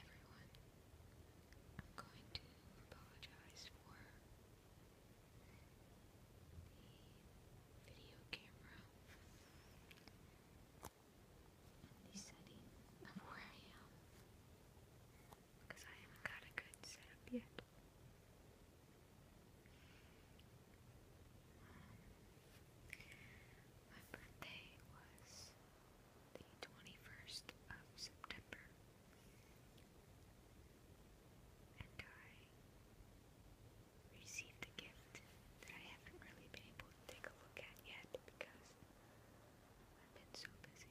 everyone, I'm going to apologize for the video camera, the setting of where I am, because I haven't got a good setup yet. Um, my birthday was the 21st of September. And I received a gift that I haven't really been able to take a look at yet because I've been so busy.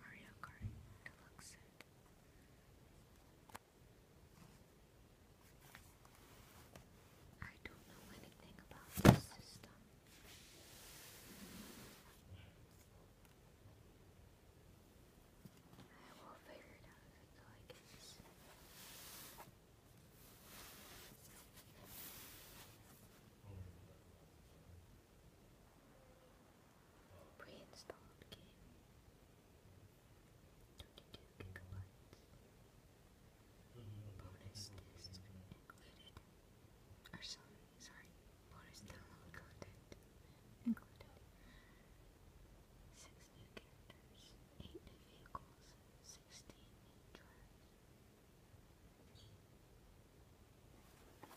Mario Kart Deluxe I don't know anything about this system. I will figure it out I get Pre-installed game. 22 gigabytes. Bonus disc included. Or sorry. Bonus download content included. Six new characters, eight new vehicles, sixteen new tracks.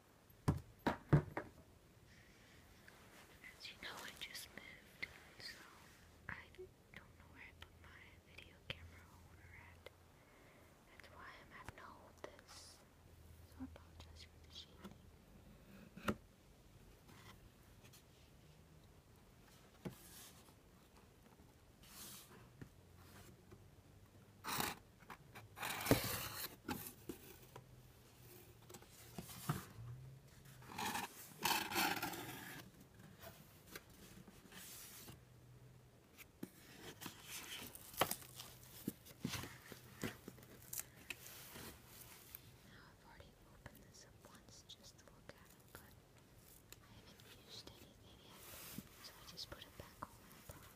As you know, I just moved, so I don't know where I put my video camera holder That's why I'm having to hold this. So I apologize for the shaking. I've already opened this up once just to look at it, but I haven't used anything yet, so I just put it back on my box.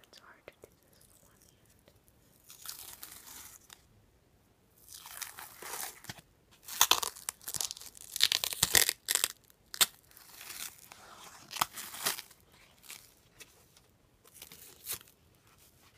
It's hard to do this with one hand.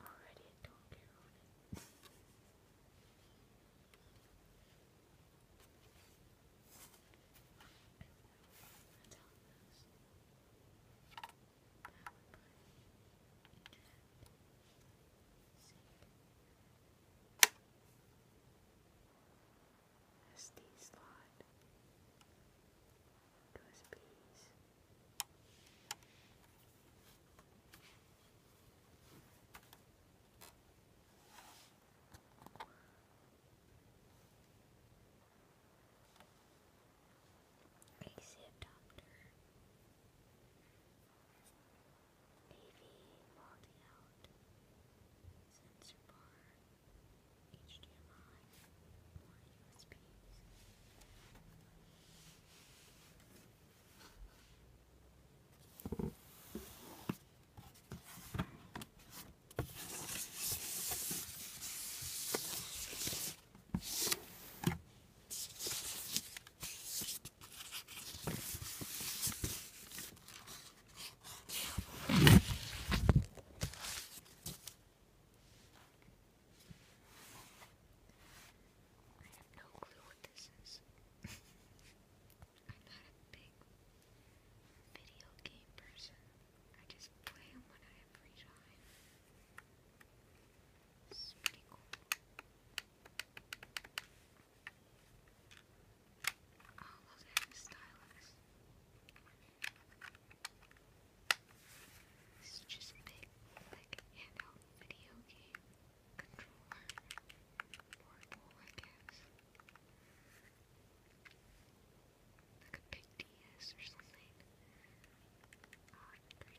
Already a donkey on it. That's how it goes. Power button, eject, sync, SD slot, USBs. AC adapter. AV logging out, sensor bar, HDMI, more USBs. This I have no clue what this is. I'm not a big video game person. I just play them when I have free time. It's pretty cool all of them stylus. This just big, like handheld video game controller portable, I guess. Like a big DS or something. Uh, 3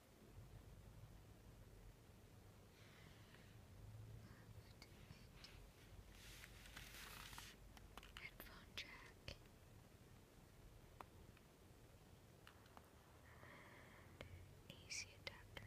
Headphone jack. And AC adapter.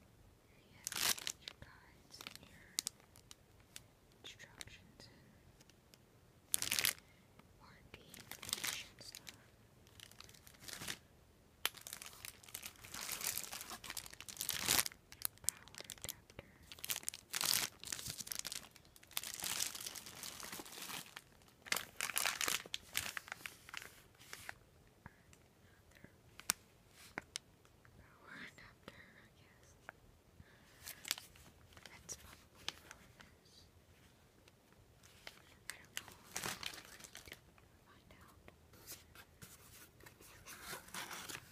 you your guides your instructions warranty information Power adapter one after, I guess. That's probably from this. I don't know. I'll find out.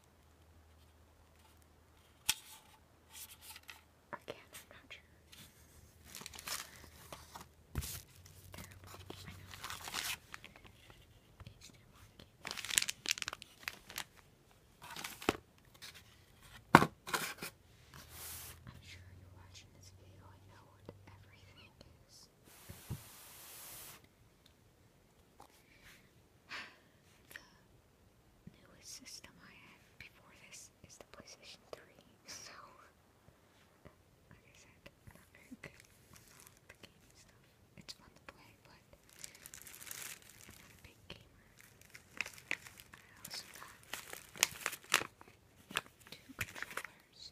Again, I'm not sure. I am sure you're watching this video and know what everything is. The newest system I had before this is the PlayStation 3, so like I said, not very good the gaming stuff. It's fun to play, but big gamer. I also got two controllers.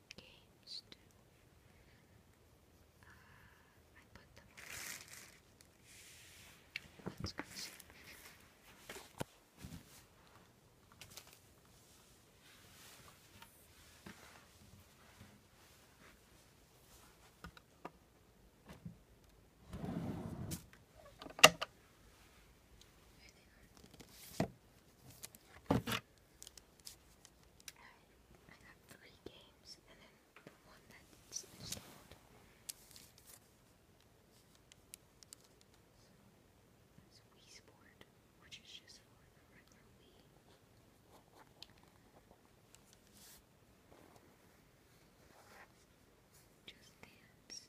games too. I put them Let's go see. Alright, I got three games and then the one that's installed. It's Wii which is just for the Just Dance.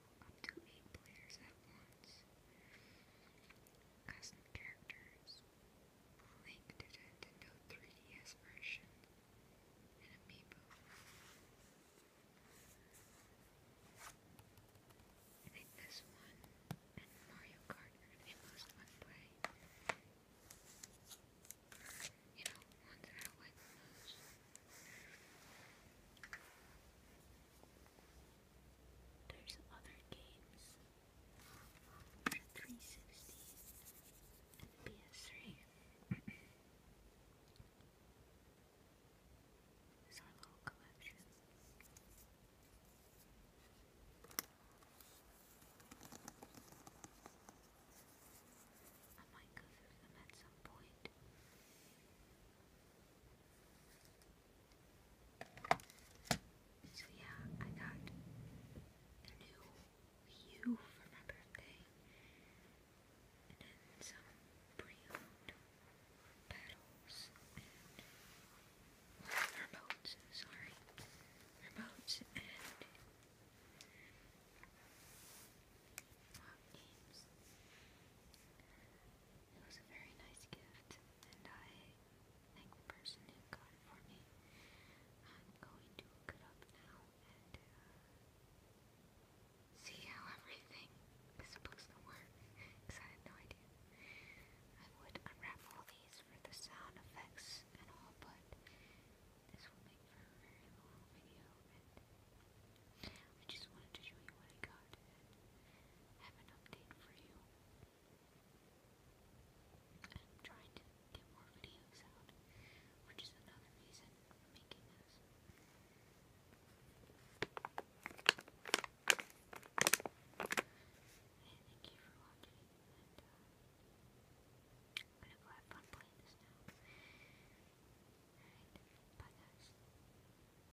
control up to eight players at once. Custom characters, link to Nintendo 3DS version, and amiibo. I think this one and Mario Kart are going most fun to play. You know, ones that I like most. There's other games 360 and PS3. It's our little collection. I might go through them at some point. So yeah, I got a new U for my birthday. And then some pre-owned pedals and remotes, sorry. Remotes and what games? It was a very nice gift, and I thank the person who got it for me. I'm going to look up now and uh, see how everything is supposed to work, because I had no idea. I would unwrap these for the sound effects and all, but this will make for a very long video, and I just wanted to show you what I got have an update for you. I'm trying to get more videos out, which is another reason making this. Hey, thank you for watching, and uh, gonna have fun playing this now. bye guys.